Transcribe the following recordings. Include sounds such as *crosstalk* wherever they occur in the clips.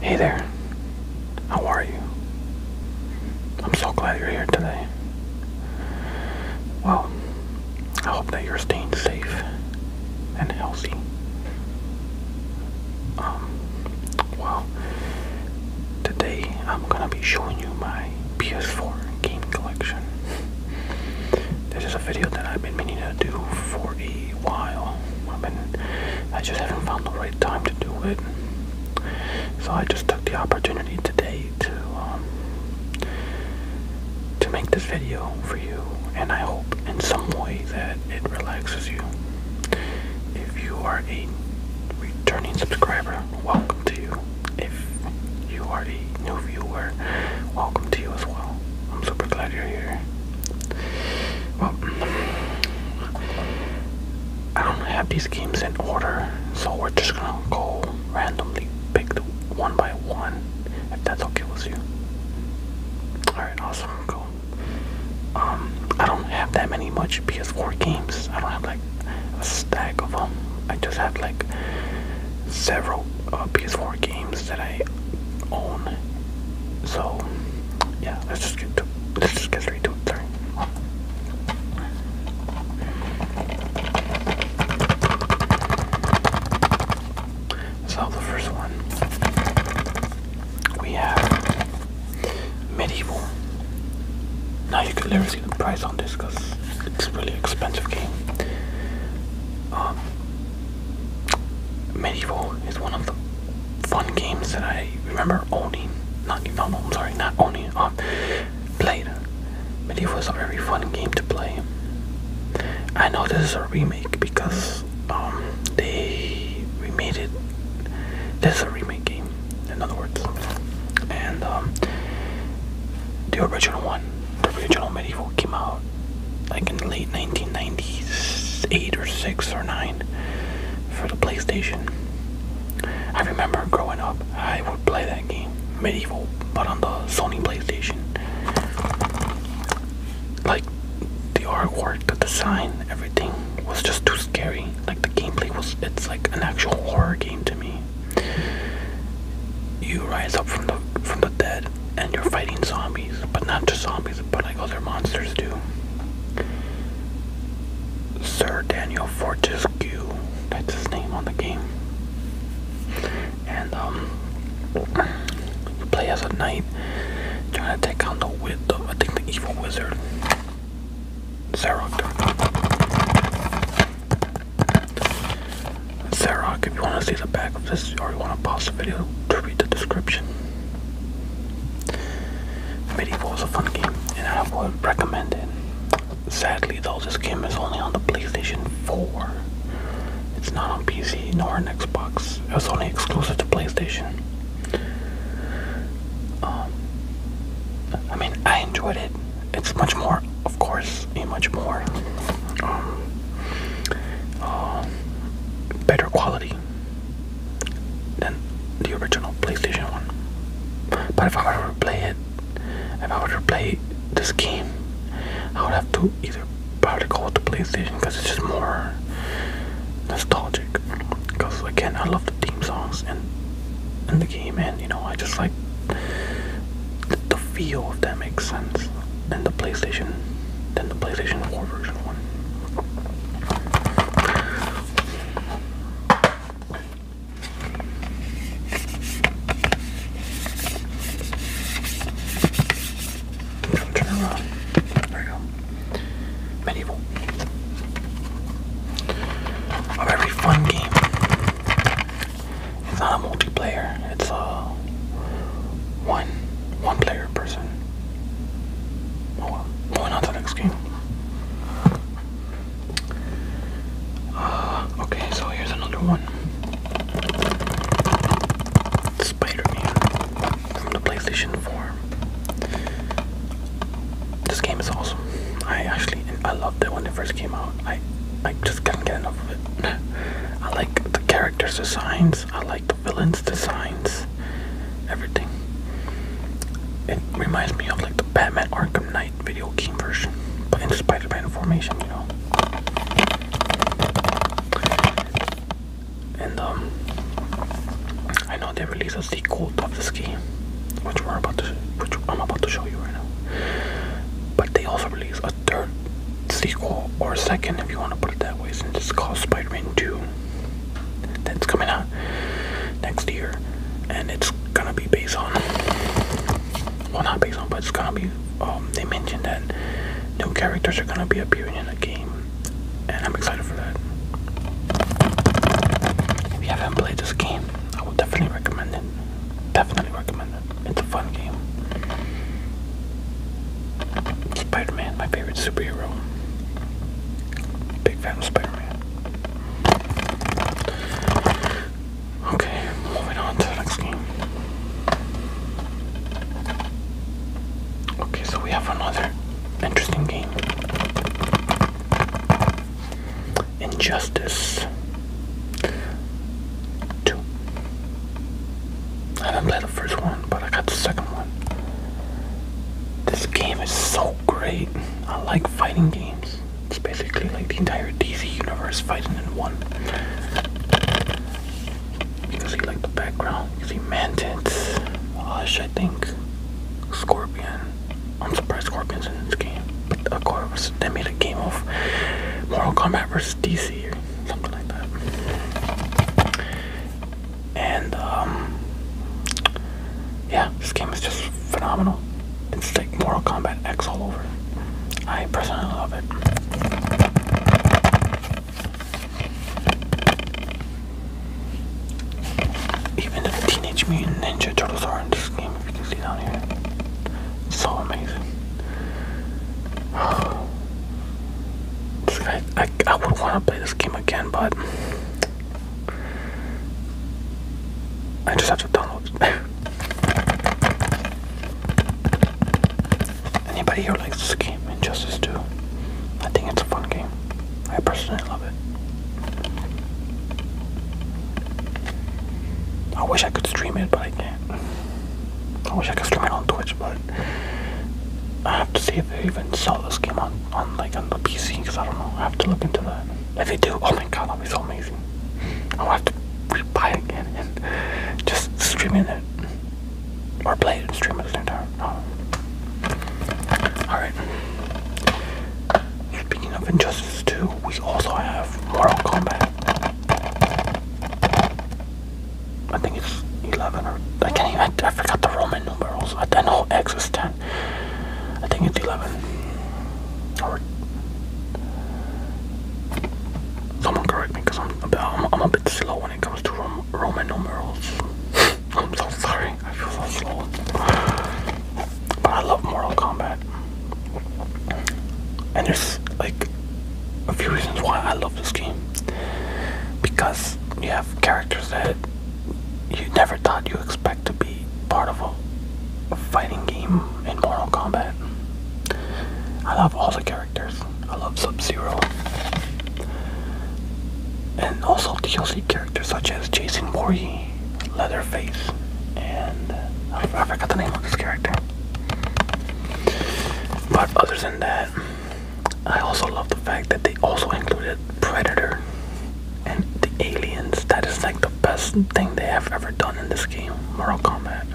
Hey there, how are you? I'm so glad you're here today. Well, I hope that you're staying safe and healthy. Um, well, today I'm gonna be showing you my PS4 game collection. This is a video that I've been meaning to do for a while. I mean, I just haven't found the right time to do it. So I just took the opportunity today to um, to make this video for you, and I hope in some way that it relaxes you. If you are a returning subscriber, welcome to you. If you are a new viewer, welcome to you as well. I'm super glad you're here. Well, I don't have these games in order, so we're just gonna go randomly pick one by one, if that's okay with you. Alright, awesome, cool. Um, I don't have that many much PS4 games. I don't have like a stack of them. I just have like several uh, PS4 games that I so yeah, let's just get to let's just get straight So the first one we have medieval. Now you can literally see the price on this because it's a really expensive game. Um, Medieval is one of the fun games that I remember owning. Not no, no I'm sorry, not owning. Uh, played. Medieval is a very fun game to play. I know this is a remake because um, they remade it. This is a remake game, in other words, and um, the original one, the original medieval came out like in the late 1998 or 6 or 9 for the PlayStation. I remember growing up, I would play that game, Medieval, but on the Sony PlayStation. Like, the artwork, the design, everything was just too scary. Like, the gameplay was, it's like an actual horror game to me. You rise up from the from the dead and you're fighting zombies, but not to zombies, but like other monsters do. Sir Daniel Fortescue, that's his name on the game. And um you play as a knight trying to take on the wit I think the evil wizard. Zarok. Zarok, if you want to see the back of this or you want to pause the video to read the description. Medieval is a fun game and I would recommend it. Sadly though, this game is only on the PlayStation 4. It's not on PC nor on Xbox. It's only exclusive to PlayStation. Um, I mean, I enjoyed it. It's much more, of course, a much more um, um, better quality than the original PlayStation 1. But if I were to play it, if I were to play this game, I would have to either probably go with the PlayStation because it's just more nostalgic. Because again, I love the theme songs and in the game, and you know, I just like the, feel if that makes sense and the PlayStation than the PlayStation 4 version one. Turn around. There we go. Medieval. Of fun game it's not a multiplayer. It's a uh, one one player person. Oh moving on to the next game. Uh, okay, so here's another one. Spider-Man from the PlayStation 4. This game is awesome. I actually I loved it when it first came out. I I just couldn't get enough of it. I like the characters' designs. I like the villains' designs. Everything. It reminds me of like the Batman Arkham Knight video game version, but in Spider-Man formation, you know. And um, I know they released a sequel of this game, which we're about to, which I'm about to show you right now. But they also release a third sequel, or second if you want to put it that way, since it's called Spider Man 2. That's coming out next year, and it's gonna be based on. Well, not based on, but it's gonna be. Um, they mentioned that new characters are gonna be appearing in the game, and I'm excited for that. If you haven't played this game, I would definitely recommend it. Definitely recommend it's a fun game. Spider Man, my favorite superhero. Big fan of Spider Man. Okay, moving on to the next game. Okay, so we have another interesting game Injustice two. I didn't play the first one, but I got the second one. This game is so great. I like fighting games. It's basically like the entire DC universe fighting in one. You can see like the background. You can see Mantis, Hush, I think, Scorpion. I'm surprised Scorpion's in this game. But of course, they made a game of Mortal Kombat versus DC something like that. And um, yeah, this game is just phenomenal. It's like Mortal Kombat X all over. I personally love it. Even the Teenage Mutant Ninja Turtles are in this game, if you can see down here. so amazing. I, would want to play this game again, but I just have to download it. *laughs* Anybody here likes this game, Injustice 2? I think it's a fun game. I personally love it. I wish I could stream it, but I can't. I wish I could stream it on Twitch, but I have to see if they even sell this game on, on like on the PC because I don't know. I have to look into that. If they do, oh my god, that'd be so amazing. I'll have to buy it again and just streaming it or play it and stream it at the Alright. Speaking of Injustice 2, we also have Mortal Kombat. I think it's 11 or I can't even I forgot the Roman numerals I, I know X is 10 I think it's 11 Sorry. someone correct me because I'm, a bit slow when it comes to Roman numerals *laughs* I'm so sorry I feel so slow but I love Mortal Kombat and there's like a few reasons why I love this game because you have characters that you never thought you would expect to be part of a, fighting game in Mortal Kombat. I love all the characters. I love Sub-Zero. And also DLC characters such as Jason Voorhees, Leatherface, and I, I forgot the name of this character. But other than that, I also love the fact that they also included Predator and the aliens. That is like the best thing they have ever done in this game, Mortal Kombat.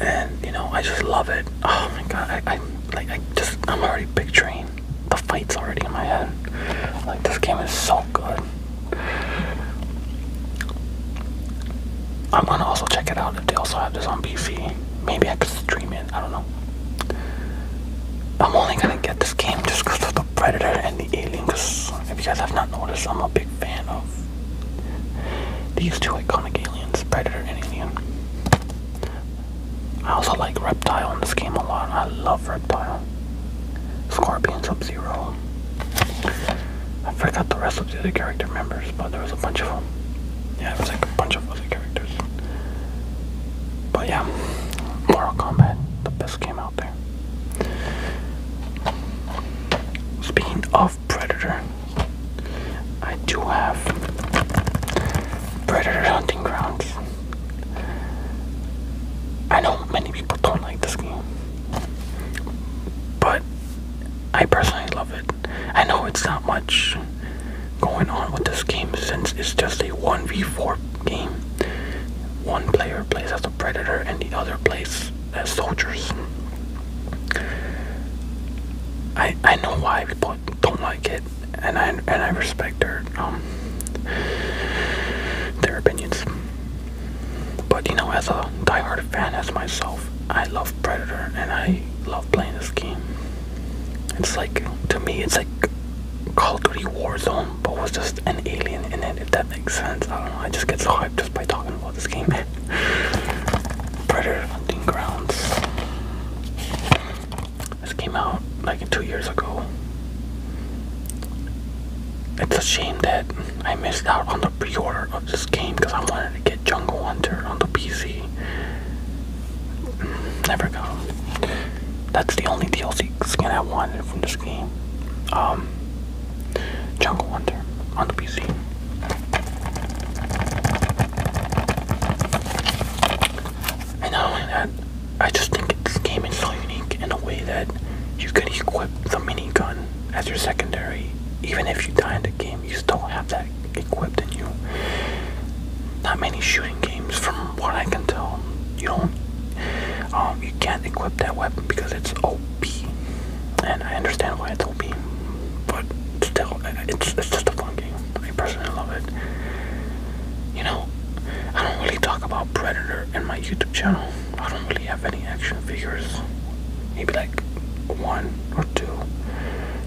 And you know, I just love it. Oh my god, I, like I just I'm already picturing the fights already in my head. Like this game is so good. I'm gonna also check it out if they also have this on PC. Maybe I could stream it, I don't know. I'm only gonna get this game just because of the Predator and the Alien, if you guys have not noticed, I'm a big fan of these two iconic aliens, Predator and Alien. I also like Reptile in this game a lot. I love Reptile. Scorpions up Zero. I forgot the rest of the other character members, but there was a bunch of them. Yeah, there was like a bunch of other characters. But yeah, Mortal Kombat, the best game out there. Speaking of Predator, I do have Predator Hunting Grounds. I know many people don't like this game, but I personally love it. I know it's not much going on with this game since it's just a 1v4 game. One player plays as a predator and the other plays as soldiers. I I know why people don't like it and I and I respect their um their opinions. But you know, as a die-hard fan as myself, I love Predator and I love playing this game. It's like to me, it's like Call of Duty Warzone, but with just an alien in it. If that makes sense, I don't know. I just get so hyped just by talking about this game. *laughs* Predator Hunting Grounds. This came out like two years ago it's a shame that I missed out on the pre-order of this game because I wanted to get Jungle Hunter on the PC. Never got him. That's the only DLC skin I wanted from this game. Um, Jungle Hunter on the PC. And not only I just think this game is so unique in a way that you could equip the minigun as your secondary, even if you die in the game, you still have that equipped in you. Not many shooting games, from what I can tell, you don't, um, you can't equip that weapon because it's OP, and I understand why it's OP, but still, it's it's just a fun game. I personally love it. You know, I don't really talk about Predator and my YouTube channel. I don't really have any action figures. Maybe like one or two.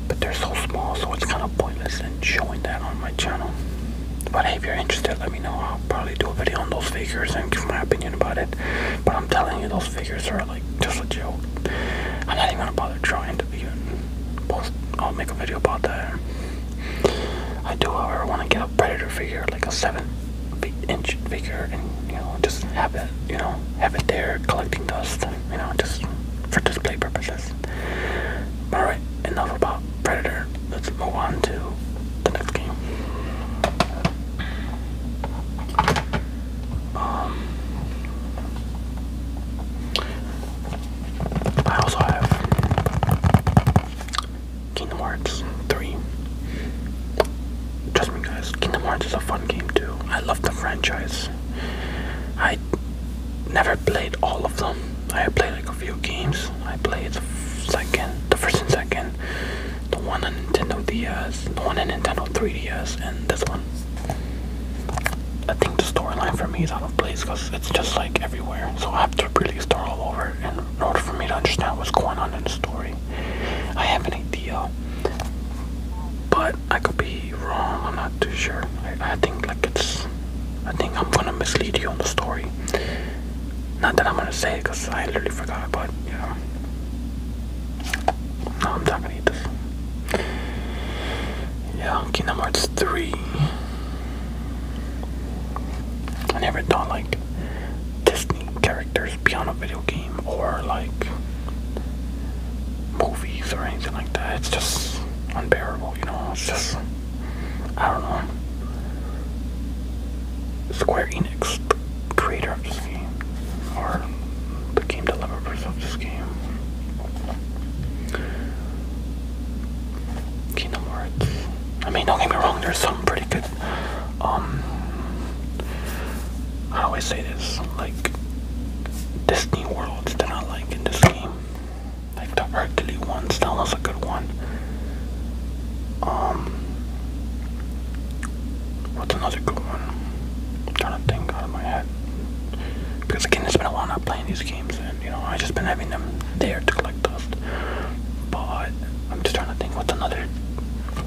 But they're so small, so it's kind of pointless in showing that on my channel. But if you're interested, let me know. I'll probably do a video on those figures and give my opinion about it. But I'm telling you, those figures are like just a joke. I'm not even gonna bother trying to even post. I'll make a video about that. I do, however, want to get a Predator figure, like a 7 inch figure and you know just have it you know have it there collecting dust you know just for display purposes. All right, enough about Predator. Let's move on to the next game. Um, I also have Kingdom Hearts 3. Trust me guys, Kingdom Hearts is a fun game too. I love the franchise. I never played all of them. I played like a few games. I played the second, the first and second, the one on Nintendo DS, the one on Nintendo 3DS, and this one. I think the storyline for me is out of place because it's just like everywhere. So I have to really start all over in order for me to understand what's going on in the story. I have an idea, but I could be wrong. I'm not too sure. I, think like it's. I think I'm gonna mislead you on the story. Not that I'm gonna say it, cause I literally forgot. But yeah. No, I'm not going this. Yeah, Kingdom Hearts 3. I never thought like Disney characters piano video game or like movies or anything like that. It's just unbearable, you know. It's just I don't know. Square Enix, the creator of this game, or the game developers of this game. Kingdom Hearts. I mean, don't get me wrong. There's some pretty good um how I say this? Like Disney worlds that I like in this game. Like the Hercules ones, that was a good one. Um What's another good one? I'm trying to think out of my head. Because again it's been a while not playing these games and you know I just been having them there to collect dust. But I'm just trying to think what's another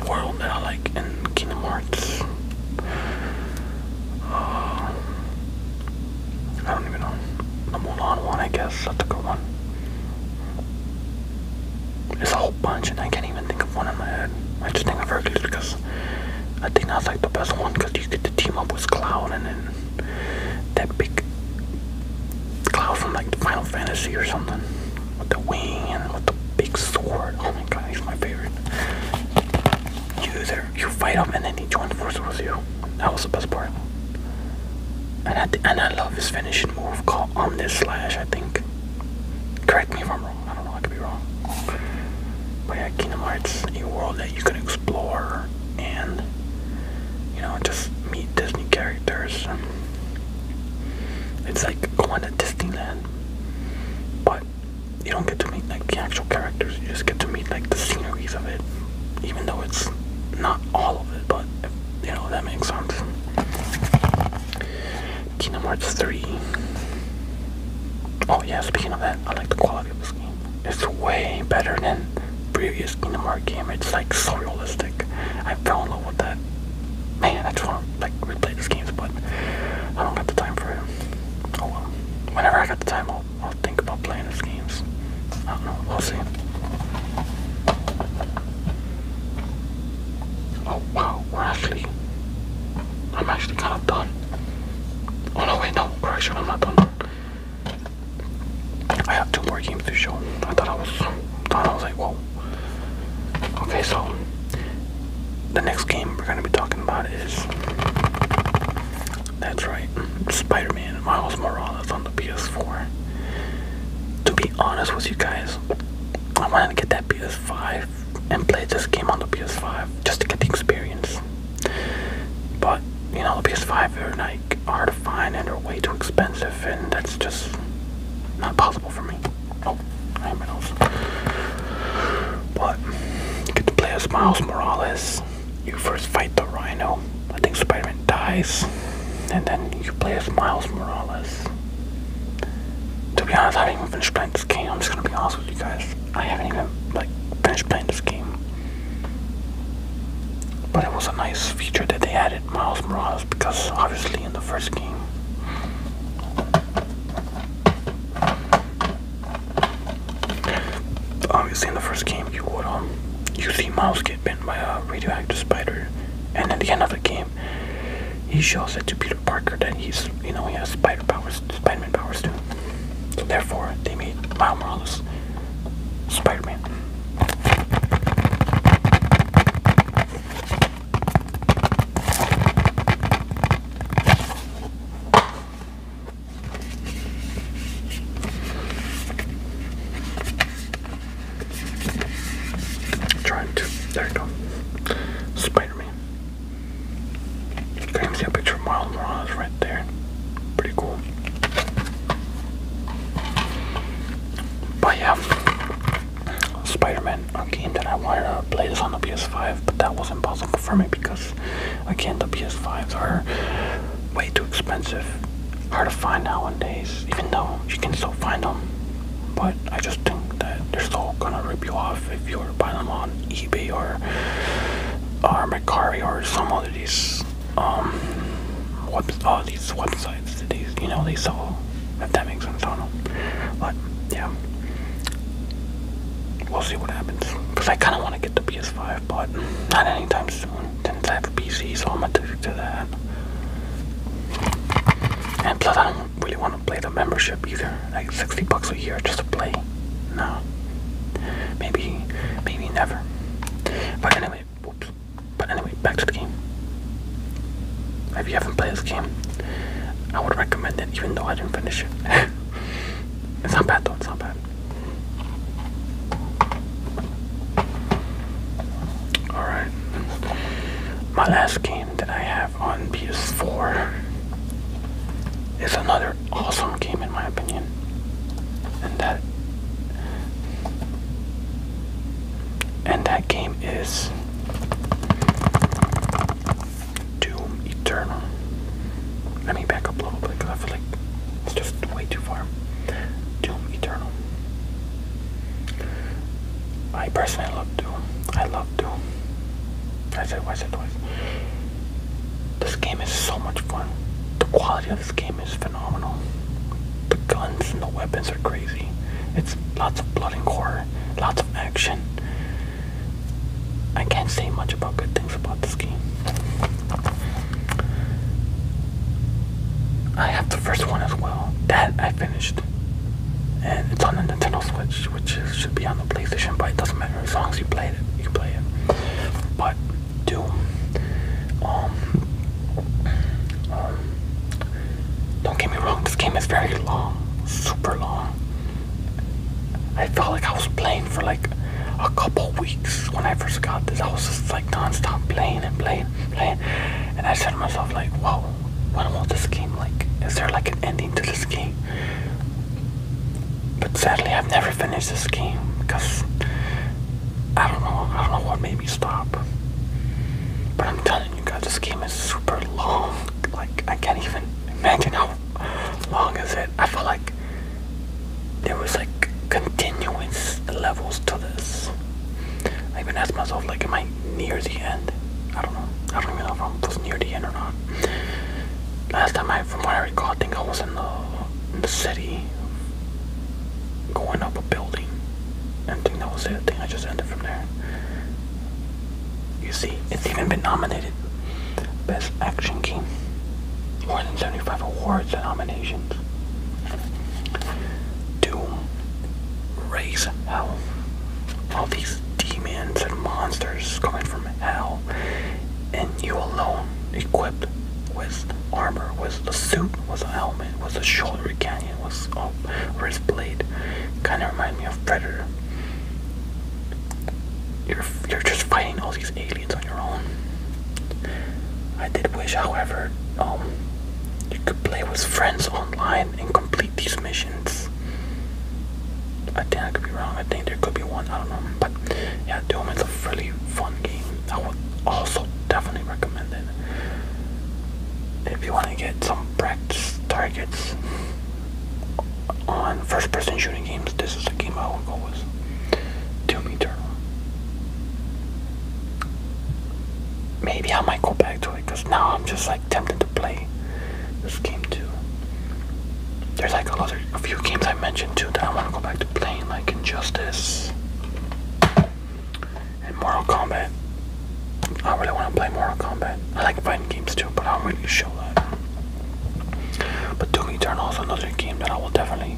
world that I like in Kingdom Hearts. Uh, I don't even know. The Mulan one, I guess. That's a good one. There's a whole bunch, and I can't even think of one in my head. I just think of Hercules because I think that's like the best one because you get to team up with Cloud and then that big Cloud from like the Final Fantasy or something with the wing and with the big sword. Oh my god, he's my favorite. You there, you fight him, and then he joins forces with you. That was the best part. And I, and I love his finishing move called Omnis Slash, I think. Correct me if I'm wrong. I don't know, I could be wrong. But yeah, Kingdom Hearts, a world that you can explore and, you know, just meet Disney characters. It's like going to Disneyland, but you don't get to meet like the actual characters. You just get to meet like the sceneries of it, even though it's not all of it. But you know that makes sense. Kingdom Hearts 3. Oh yeah, speaking of that, I like the quality of this game. It's way better than previous Kingdom Hearts game. It's like so realistic. I fell in love with that. Man, I just want to like replay these games, but I don't have the time for it. Oh well. Whenever I got the time, I'll, I'll think about playing these games. I don't know. We'll see. Oh wow, actually. I'm actually kind of done. Oh no, wait, no, correction, I'm not done. I have two more games to show. I thought I was. Thought I was like, whoa, okay, so the next game we're going to be talking about is that's right, Spider Man Miles Morales on the PS4. To be honest with you guys, I wanted to get that PS5 and play this game on the PS5 just to get the experience. But, you know, the PS5 are like hard to find and they're way too expensive and that's just not possible for me. Oh, I have my nose. But get to play as Miles Morales. You first fight the Rhino. I think Spider-Man dies, and then you play as Miles Morales. To be honest, I haven't even finished playing this game. I'm just gonna be honest with you guys. I haven't even like finished playing this game. But it was a nice feature that they added. Miles Morales because obviously in the first game. Obviously in the first game you would um you see Miles get bitten by a radioactive spider and at the end of the game he shows it to Peter Parker that he's you know he has spider powers Spider-Man powers too. therefore they made Miles Morales Spider-Man. Trying to, there you go. Spider Man. You can see a picture of Miles Morales right there. Pretty cool. But yeah, Spider-Man a game that I wanted to play this on the PS5, but that was impossible for me because I can't. the PS5s are way too expensive, hard to find nowadays. Even though you can still find them, but I just think that they're still gonna rip you off if you are buying them on eBay or or Mercari or some other these um web all these websites you know, they saw. If that makes sense, I do But yeah, we'll see what happens. Cause I kind of want to get the PS5, but not anytime soon. Since I have a PC, so I'm addicted to that. And plus, I don't really want to play the membership either. Like 60 bucks a year just to play. No. Maybe, maybe never. But anyway, but anyway, back to the game. If you haven't played this game, I would recommend it even though I didn't finish it. *laughs* it's not bad though, it's not bad. Alright. My last game that I have on PS4 is another awesome game in my opinion. And that and that game is Doom Eternal. Let me back up a little bit I feel like it's just way too far. Doom Eternal. I personally love Doom. I love Doom. I said, I said twice. This game is so much fun. The quality of this game is phenomenal. The guns and the weapons are crazy. It's lots of blood and gore, lots of action. I can't say much about good things about this game. I have the first one as well. That I finished. And it's on the Nintendo Switch, which should be on the PlayStation, but it doesn't matter. As long as you play it, you can play it. But Doom. Um, um, don't get me wrong, this game is very long, super long. I felt like I was playing for like a couple weeks when I first got this. I was just like non-stop playing and playing and playing. And I said to myself like, whoa, what about this game? Like, is there like an ending to this game? But sadly, I've never finished this game because I don't know. I don't know what made me stop. But I'm telling you guys, this game is super long. Like I can't even imagine how long is it. I feel like there was like continuous levels to this. I even asked myself, like, am I near the end? I don't know. I don't even know if I am close near the end or not. Last time I, from what I recall, I think I was in the city going up a building. And I think that was it. I I just ended from there. You see, it's even been nominated Best Action Game. More than 75 awards and nominations. Doom. Raise Hell. All these demons and monsters coming from hell. And you alone equipped with armor was a suit was a helmet was a shoulder cannon, was a wrist blade kind of remind me of predator you're, you're just fighting all these aliens on your own i did wish however um, you could play with friends online and complete these missions i think i could be wrong i think there could be one i don't know but yeah doom is a really fun game i would also definitely recommend it if you want to get some practice targets on first person shooting games, this is a game I would go with. Doom Eternal. Maybe I might go back to it because now I'm just like tempted to play this game too. There's like a lot of a few games I mentioned too that I want to go back to playing, like Injustice and Mortal Kombat. I really want to play Mortal Kombat. I like fighting games too, but I am not really show that. But Doom Eternal is another game that I will definitely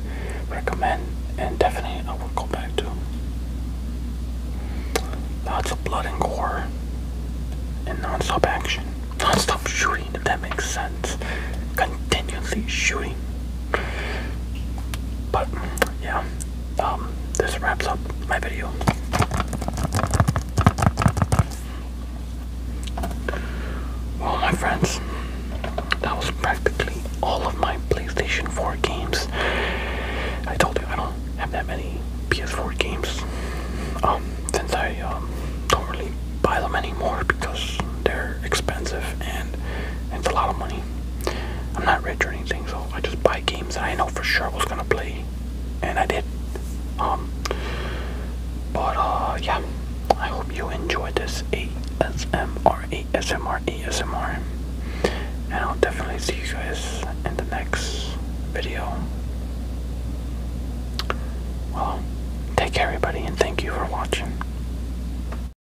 recommend and definitely I will go back to. Lots of blood and gore and non-stop action. Non-stop shooting, if that makes sense. Continuously shooting but yeah, um, this wraps up my video. Well, my friends, that was practically all of my PlayStation 4 games. I told you I don't have that many PS4 games. Um, since I um, don't really buy them anymore because they're expensive and it's a lot of money. I'm not rich or anything, so I just buy games that I know for sure I was gonna play, and I did. Um, but uh, yeah, I hope you enjoyed this ASMR, ASMR, ASMR, and I'll definitely see you guys in the next video. Well, take care, everybody, and thank you for watching.